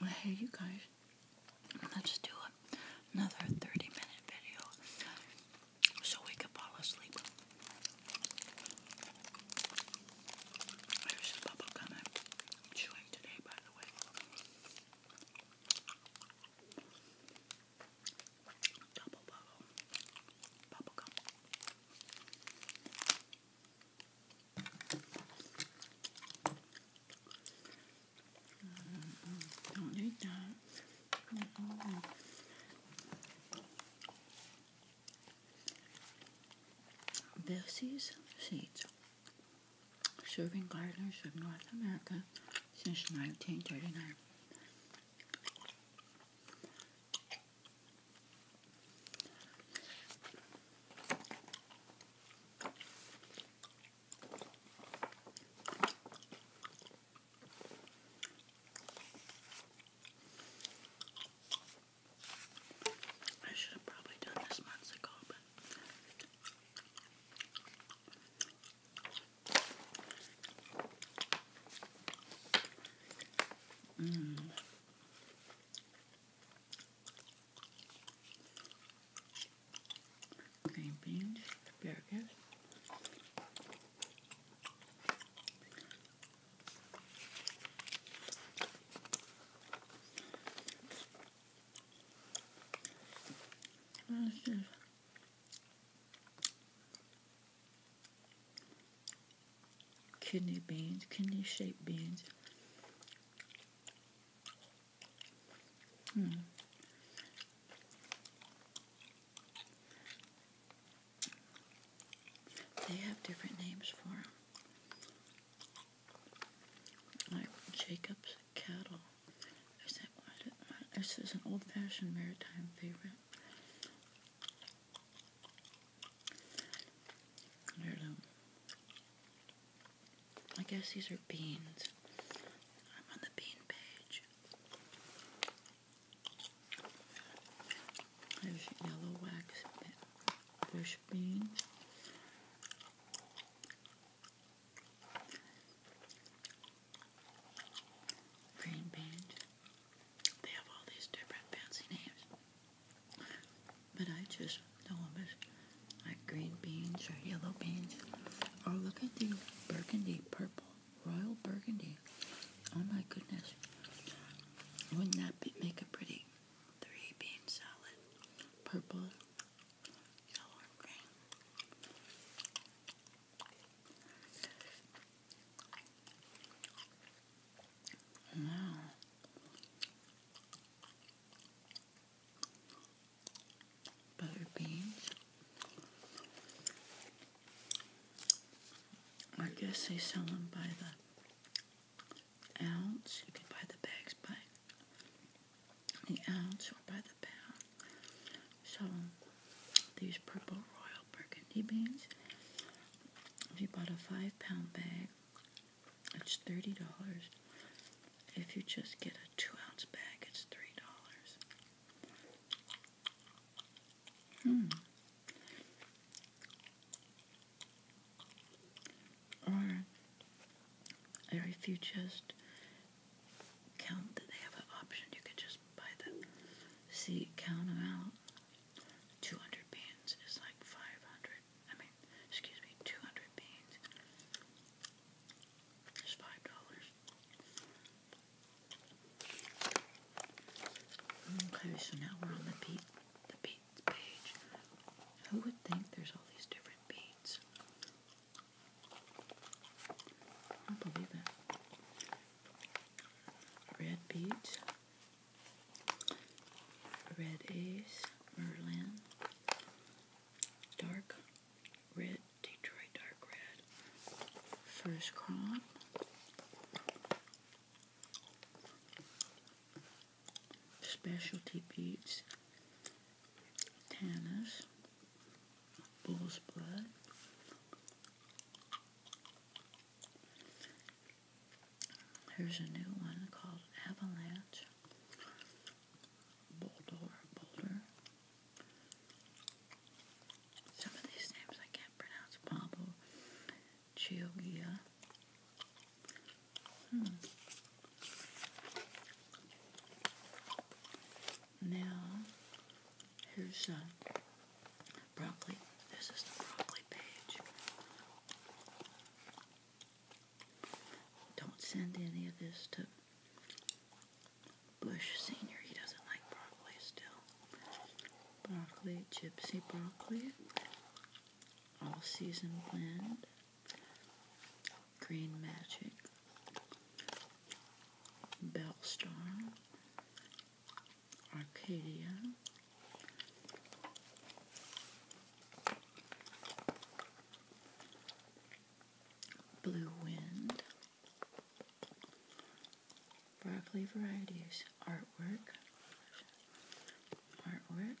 Well, hey, you guys, let's do another 30 minute video so we can fall asleep. There's a bubble gum i chewing today, by the way. Double bubble. Bubble gum. This is don't need seeds, serving gardeners of North America since 1939. I should have probably done this months ago, but Mm green beans, asparagus. What is this? kidney beans, kidney shaped beans. Hmm. They have different names for them. Like Jacob's cattle. Is that what This is an old fashioned maritime favorite. I guess these are beans. I'm on the bean page. There's yellow wax bush beans. Green beans. They have all these different fancy names. But I just do know them as like green beans or yellow beans. Or oh, look at the burgundy purple, royal burgundy. Oh my goodness. Wouldn't that make a pretty three bean salad? Purple, yellow, green. Wow. Butter beans. I guess they sell them by the ounce. You can buy the bags by the ounce or by the pound. So these purple royal burgundy beans. If you bought a five pound bag it's $30. If you just get a two ounce bag, it's $3. Hmm. Or, if you just count that they have an option, you could just buy them. See, count them out. 200 beans is like 500, I mean, excuse me, 200 beans is $5. Okay, so now we're on the beat, the beats page. Who would think there's all these different beats? I believe it. Red beads, Red Ace, Merlin, Dark Red, Detroit Dark Red, First Crop, Specialty Beats, Tanis, Bull's Blood, Here's a new one called Avalanche Boulder Boulder. Some of these names I can't pronounce. Pablo Chiogia. Hmm. Now, here's a Broccoli. This is the broccoli page. Don't send any of this to Bush Senior. He doesn't like broccoli still. Broccoli, gypsy broccoli, all season blend, green magic, bell star, Arcadia. Blue Wind. Broccoli Varieties artwork. Artwork.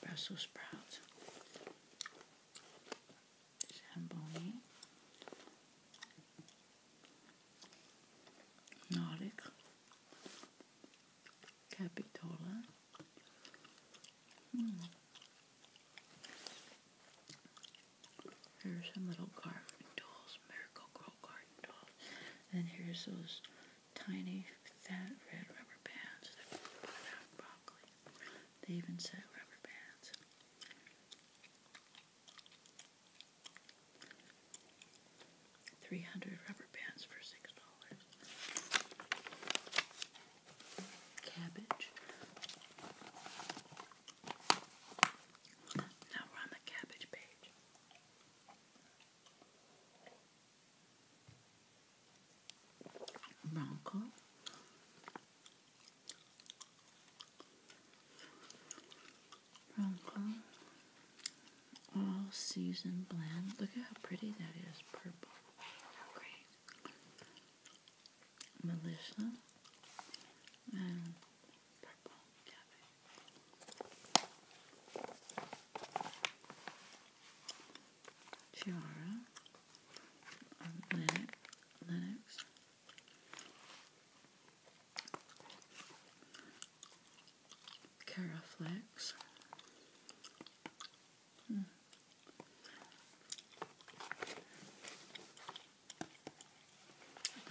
Brussels sprouts. Zamboni, Nordic, Capitola. Hmm. Here's some little gardening tools, Miracle Grow garden tools. And here's those tiny, fat red rubber bands that put out broccoli. They even said rubber bands. Three hundred rubber bands for six dollars. Cabbage. Now we're on the cabbage page. Bronco, Bronco. All season blend. Look at how pretty that is. Purple. How great. Melissa. And purple cabbage on Linux. Linux.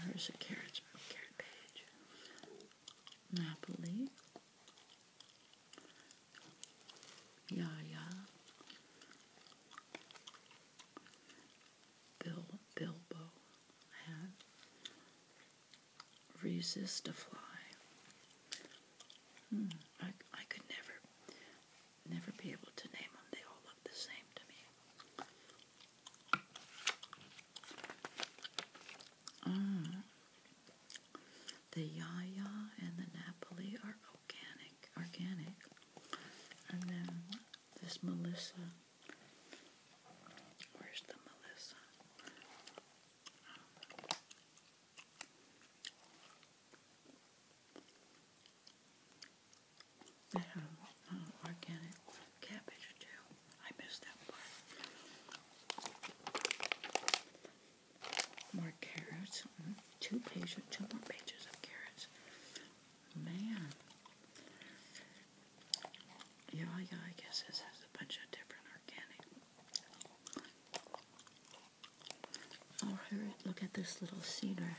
There's a carrot, carrot page. Napoli. Yaya. Bil Bilbo had resist hmm, I, I could never, never be able to name them. They all look the same to me. Ah. The Yaya and the Napoli are organic organic, And then this Melissa. Where's the Melissa? Um, have uh, organic cabbage too. I missed that part. More carrots. Mm-hmm. two pages, two more pages of carrots. Man. Yeah, yeah, I guess this has a bunch of different organic. Oh, look at this little cedar.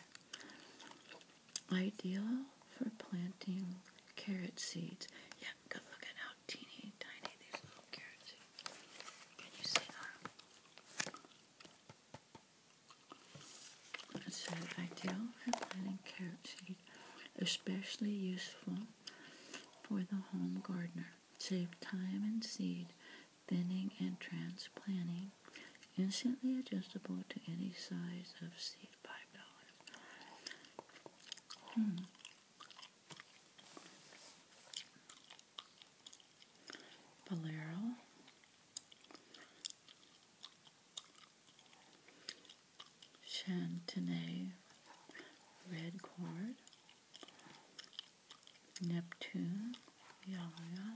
Ideal for planting carrot seeds. Yeah, good looking how teeny tiny these little carrots. seeds. Can you see them? So ideal for planting carrot seed, especially useful for the home gardener. Save time and seed thinning and transplanting. Instantly adjustable to any size of seed. Five Bolero. Chantenay Red Chord, Neptune, Yaya,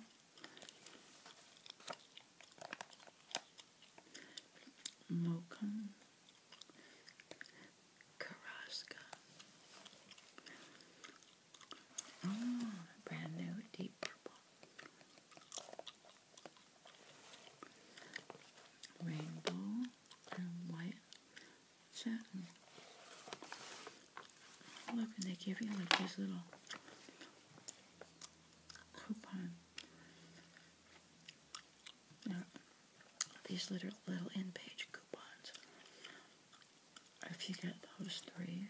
Mokum, Karaska, Oh, brand new deep purple. Rainbow and white Look, and they give you like this little coupon. Uh, these little little in-page coupons. If you get those three,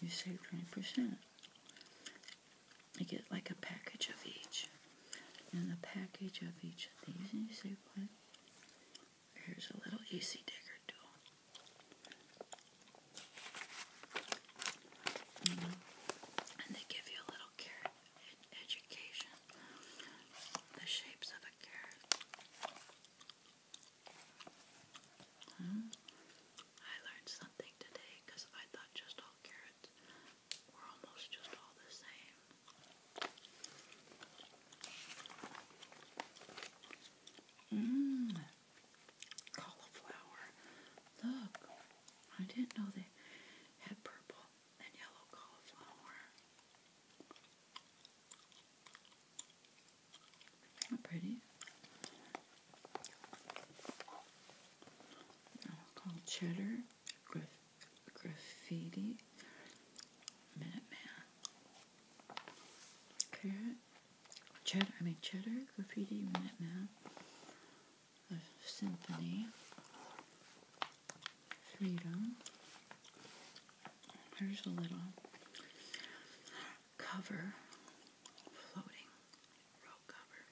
you save 20%. You get like a package of each. And the package of each of these, and you save one. Here's a little easy digger tool. Mm-hmm. And they give you a little carrot education. The shapes of a carrot. I learned something today because I thought just all carrots were almost just all the same. Mmm, cauliflower. Look, I didn't know they had purple and yellow cauliflower. Not pretty. Called cheddar, graf graffiti, Minuteman, carrot, cheddar. I mean cheddar, graffiti, Minuteman, a symphony, freedom, there's a little cover, floating row cover,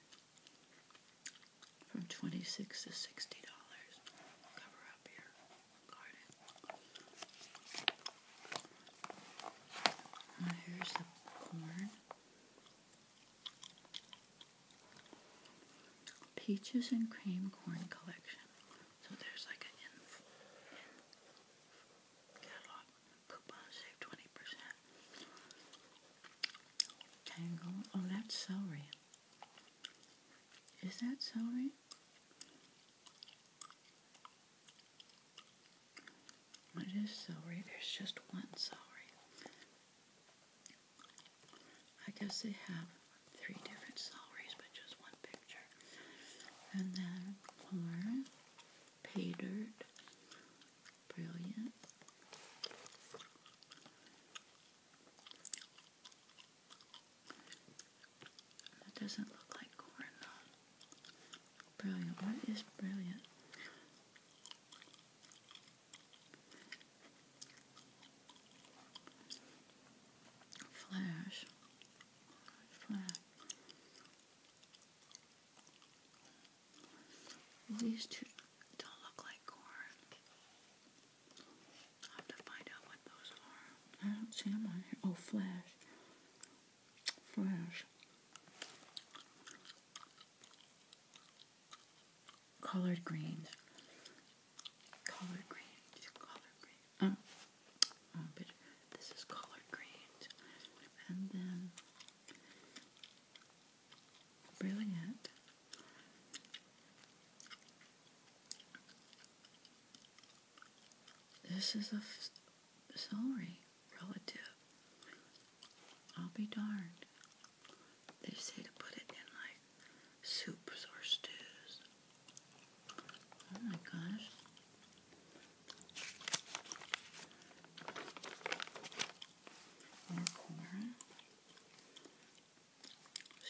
from twenty-six to sixty dollars. Cover up your garden. here's the corn. Peaches and cream corn collection. So there's like an in, in catalog coupon save 20%. Tango. Oh, that's celery. Is that celery? It is celery. There's just one celery. I guess they have three different salaries, but just one picture. And then corn, pay dirt, brilliant. That doesn't look like corn though. Brilliant. What is brilliant? Flash. These two don't look like corn. i have to find out what those are. I don't see them on here. Oh, flash. Flash. Collard greens collard greens, collard greens. Oh, oh but this is collard greens, and then brilliant. This is a f celery relative. I'll be darned. They say to put it in like soups or stews. Oh my gosh.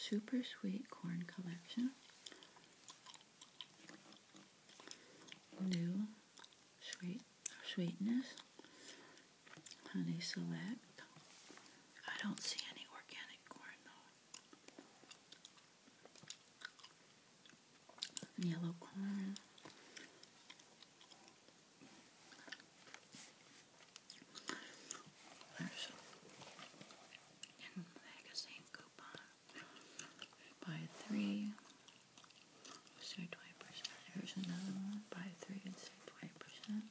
Super sweet corn collection. New sweet sweetness. Honey select. I don't see any organic corn though yellow corn. There's a magazine coupon. Buy three, save 20%. Here's another one. Buy three and save 20%.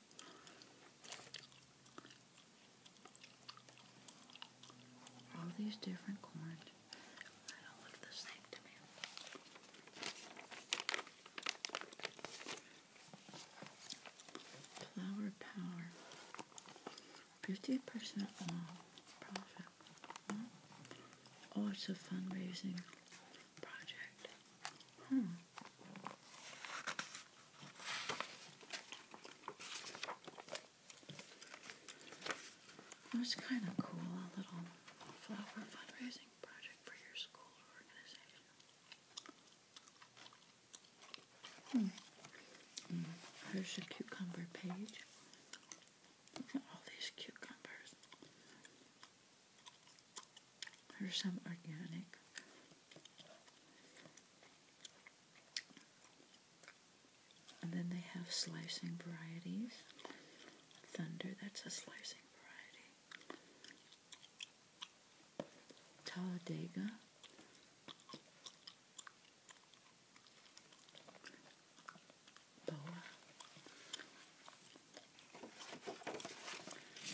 All these different corns. I don't look the same to me. Flower Power. 50% off project. Huh? Oh, it's a fundraising project. Hmm. It was kind of cool, a little flower fundraising project for your school organization. Hmm. Mm-hmm. Here's your cucumber page. Look at all these cucumbers. Here's some organic. And then they have slicing varieties. Thunder, that's a slicing variety. Talladega. Boa.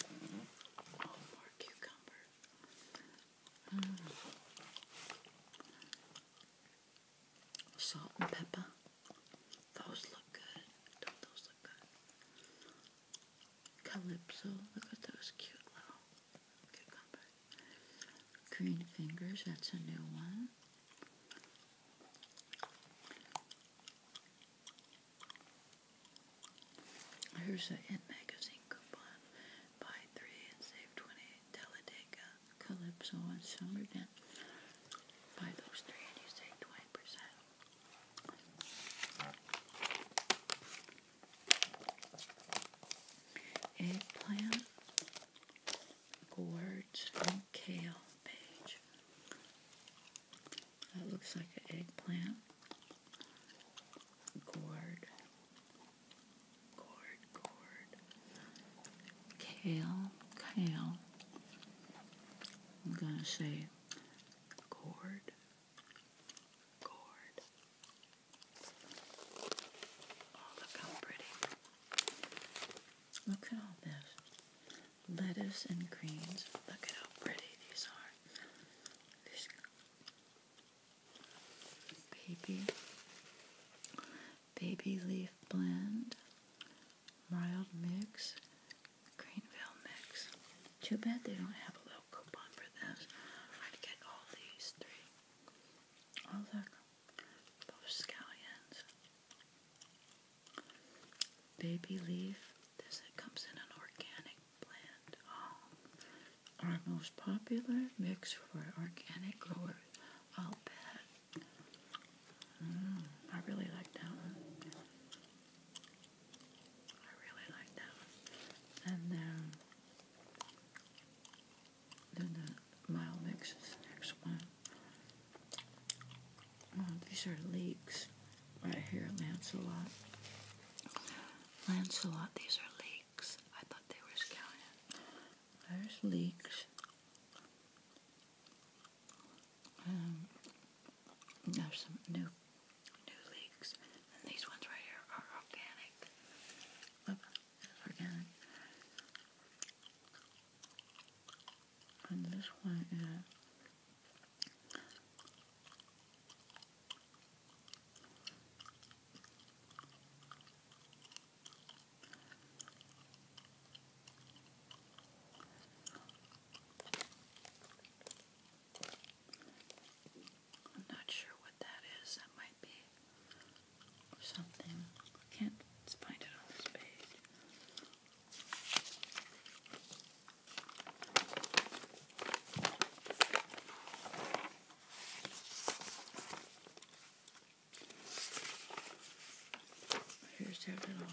Oh, more cucumber. Mm. Salt and pepper. Those look good. Don't those look good? Calypso. Look at those cute little Green fingers. That's a new one. Here's an Ed magazine coupon. Buy three and save twenty. Talladega, Calypso, and Summerden. Buy those three and you save twenty percent. Eggplant, gourds, kale. Page. That looks like an eggplant. Gourd kale, kale. I'm going to say gourd, gourd. Oh, look how pretty. Look at all this. Lettuce and greens. Look at how pretty these are baby baby leaf blend, mild mix, Greenville mix. Too bad they don't have a little coupon for this. I'd get all these three. Oh look, those scallions. Baby leaf. This it comes in an organic Blend Our most popular mix for organic growers, I'll bet. Mm, I really like that one. I really like that one. And then, then the mild mix is the next one. Mm, these are leeks right here, Lancelot. Lancelot, these are leeks. There's leaks. Um, there's some new, new leeks, and these ones right here are organic. organic. And this one is I'm not sure what that is. That might be something. Can't find it on this page. Here's her little.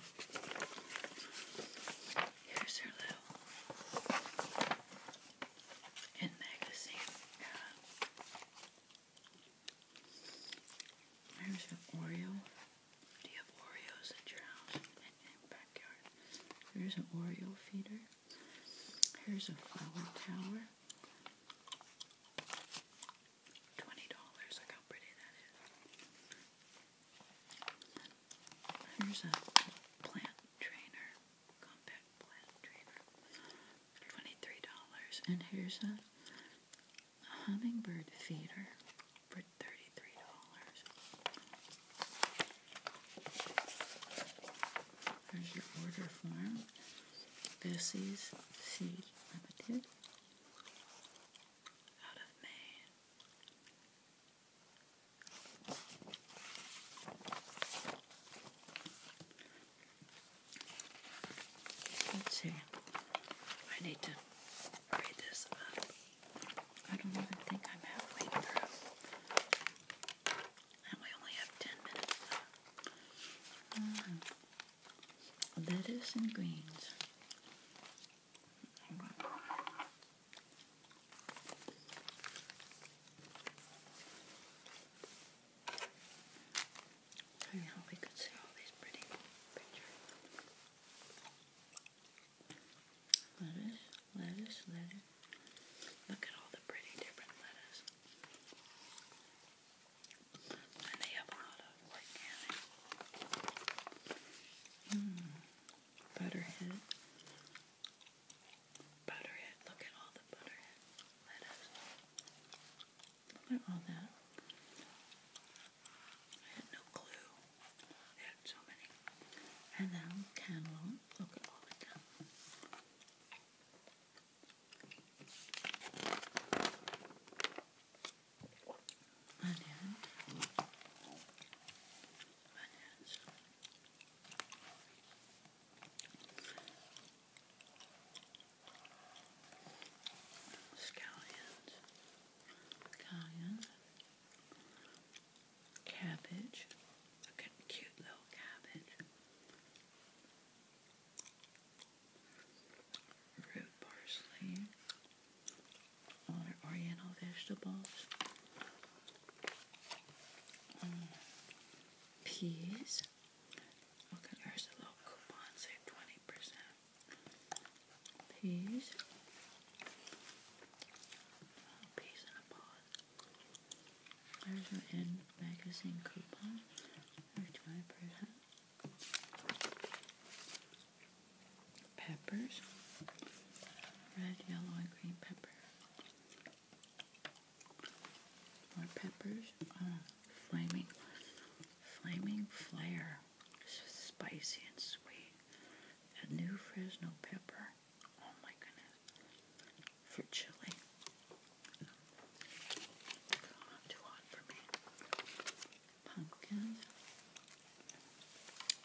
Here's her little. In magazine. here's an Oreo. Do you have Oreos at your house in your backyard? Here's an Oreo feeder. Here's a flower tower. Twenty dollars. Look how pretty that is. Here's a plant trainer, compact plant trainer. Twenty-three dollars. And here's a hummingbird feeder for thirty-three dollars. There's your order form. This is C Limited. Out of Maine. Let's see. I need to read this I don't even think I'm halfway through. Lettuce and greens. I know we could see all these pretty pictures. Lettuce, lettuce, lettuce. Look at all the pretty different lettuce. And they have a lot of organic. Hmm, butterhead. Butterhead. Look at all the butterhead lettuce. Look at all that. I had no clue got so many. And now Canlon, look at all of them. Onions. Onions. Scallions. Scallions cabbage, a cute little cabbage, root parsley, other oriental vegetables, um, peas. Okay, there's a little coupon, say 20%. Peas. A in a pod. There's your magazine coupon. Peppers. Red, yellow, and green pepper. More peppers. Oh, flaming. Flaming Flare. Spicy and sweet. A new Fresno pepper. Oh my goodness. For chili. too hot for me. Pumpkins.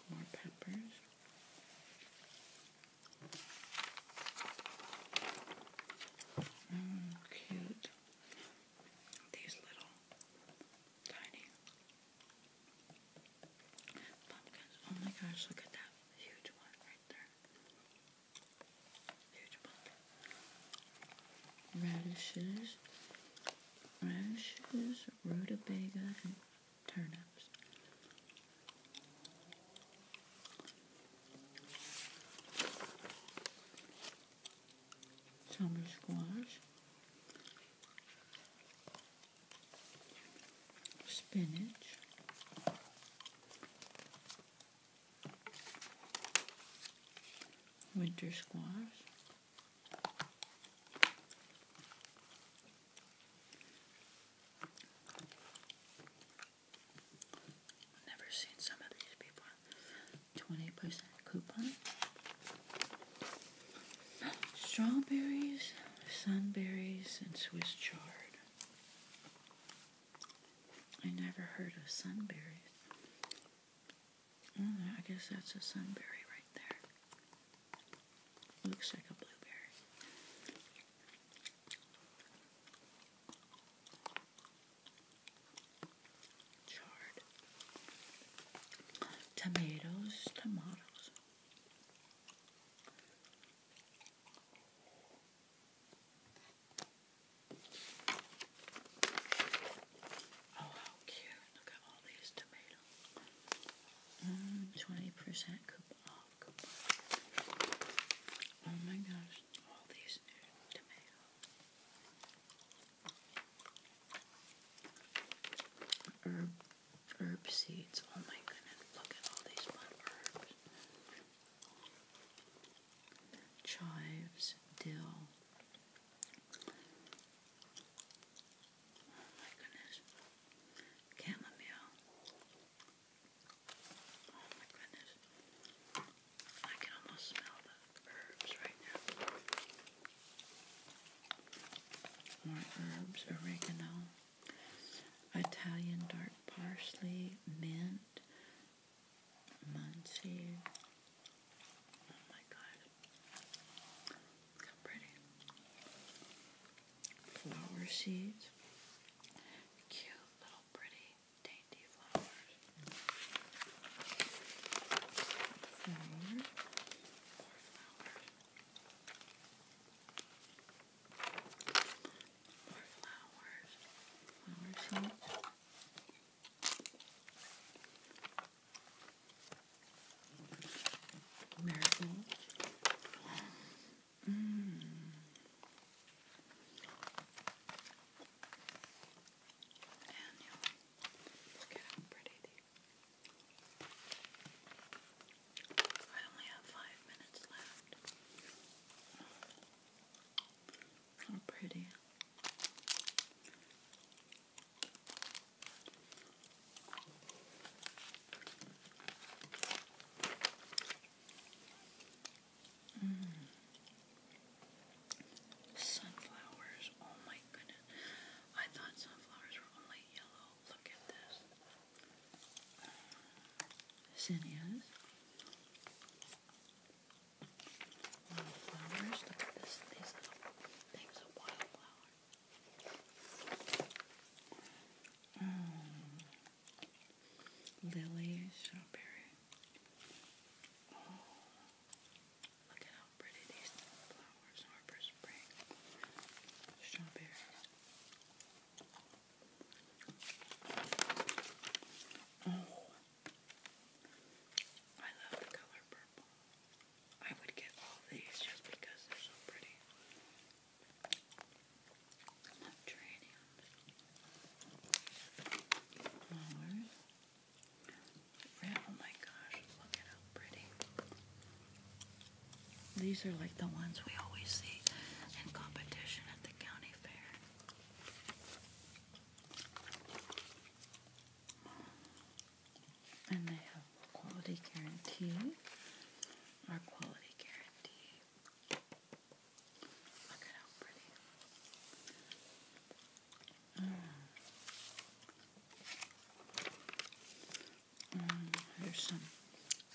More peppers. Mm, cute. These little tiny Pumpkins. Oh my gosh, look at that huge one right there. Huge pumpkin. Radishes. Radishes, rutabaga, and turnips. Summer squash, spinach, winter squash, never seen some of these before, 20% coupon strawberries, sunberries, and Swiss chard. I never heard of sunberries. Oh, I guess that's a sunberry right there. Looks like a blueberry. Chard. Tomatoes, tomatoes. Oh, how cute. Look at all these tomatoes. Mm, 20% coupon off coupon. Oh my gosh, all these new tomatoes. Herb herb seeds. Oh my goodness, look at all these fun herbs. Chives, dill. Oh my goodness. Chamomile. Oh my goodness. I can almost smell the herbs right now. More herbs, oregano. Italian dark parsley, mint, muncie. Oh my god. how pretty. Flower seeds. Cute little pretty dainty flowers. Flower. More flowers. More flowers. Flower seeds. Marigold. Mm. Daniel, look at how pretty these I only have five minutes left. How oh, pretty. Mm. Sunflowers, oh my goodness. I thought sunflowers were only yellow, Oh, look at this. Zinnias. Wildflowers. Look at this. These little things of wildflower. Um, lilies, strawberry. Oh, look at pretty these flowers are for Strawberries. Oh. I love the color purple. I would get all these just because they're so pretty. Geraniums. Flowers. Oh my gosh, look at how pretty. These are like the ones we always see in competition at the county fair. And they have quality guarantee. Our quality guarantee. Look at how pretty. Mm. Mm, there's some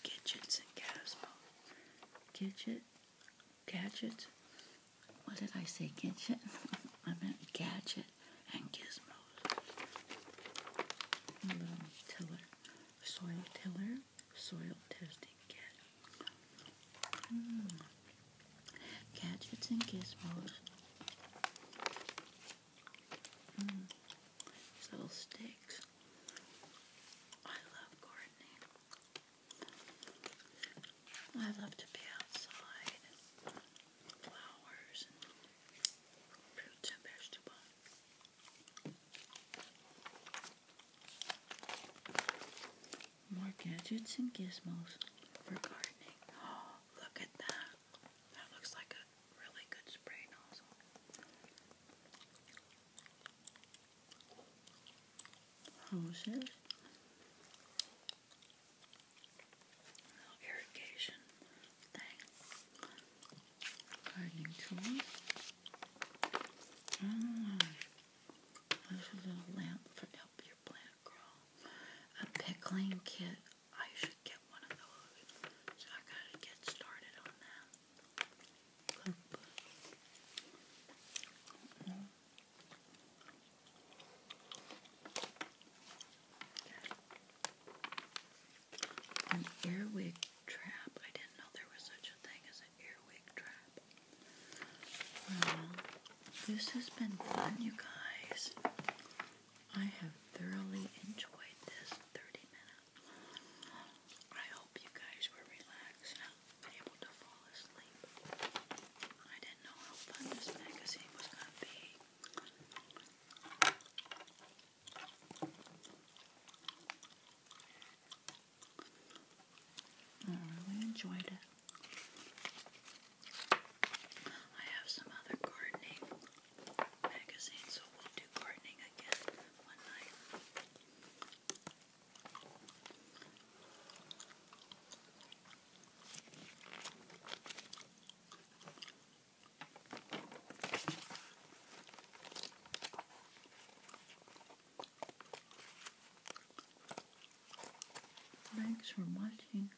gadgets and Gizmo. Gadget? Gadget? What did I say? Gadget? I meant gadget and gizmos. A little tiller. Soil tiller. Soil testing kit. Mm. Gadgets and gizmos. Mm. little sticks. I love gardening. I love to be outside. Flowers and fruits and vegetables. More gadgets and gizmos for gardening. Oh, look at that. That looks like really good spray nozzle. Hoses. Little irrigation thing. Gardening tools. Mm. There's a little lamp for help your plant grow. A pickling kit. I should get one of those. I gotta get started on that. earwig trap. I didn't know there was such a thing as an earwig trap. this has been fun, you guys. I have thoroughly enjoyed this 30 minutes. I hope you guys were relaxed able to fall asleep. I didn't know how fun this magazine was going to be. I really enjoyed it. I have some other gardening magazines, so we'll do gardening again one night. Thanks for watching.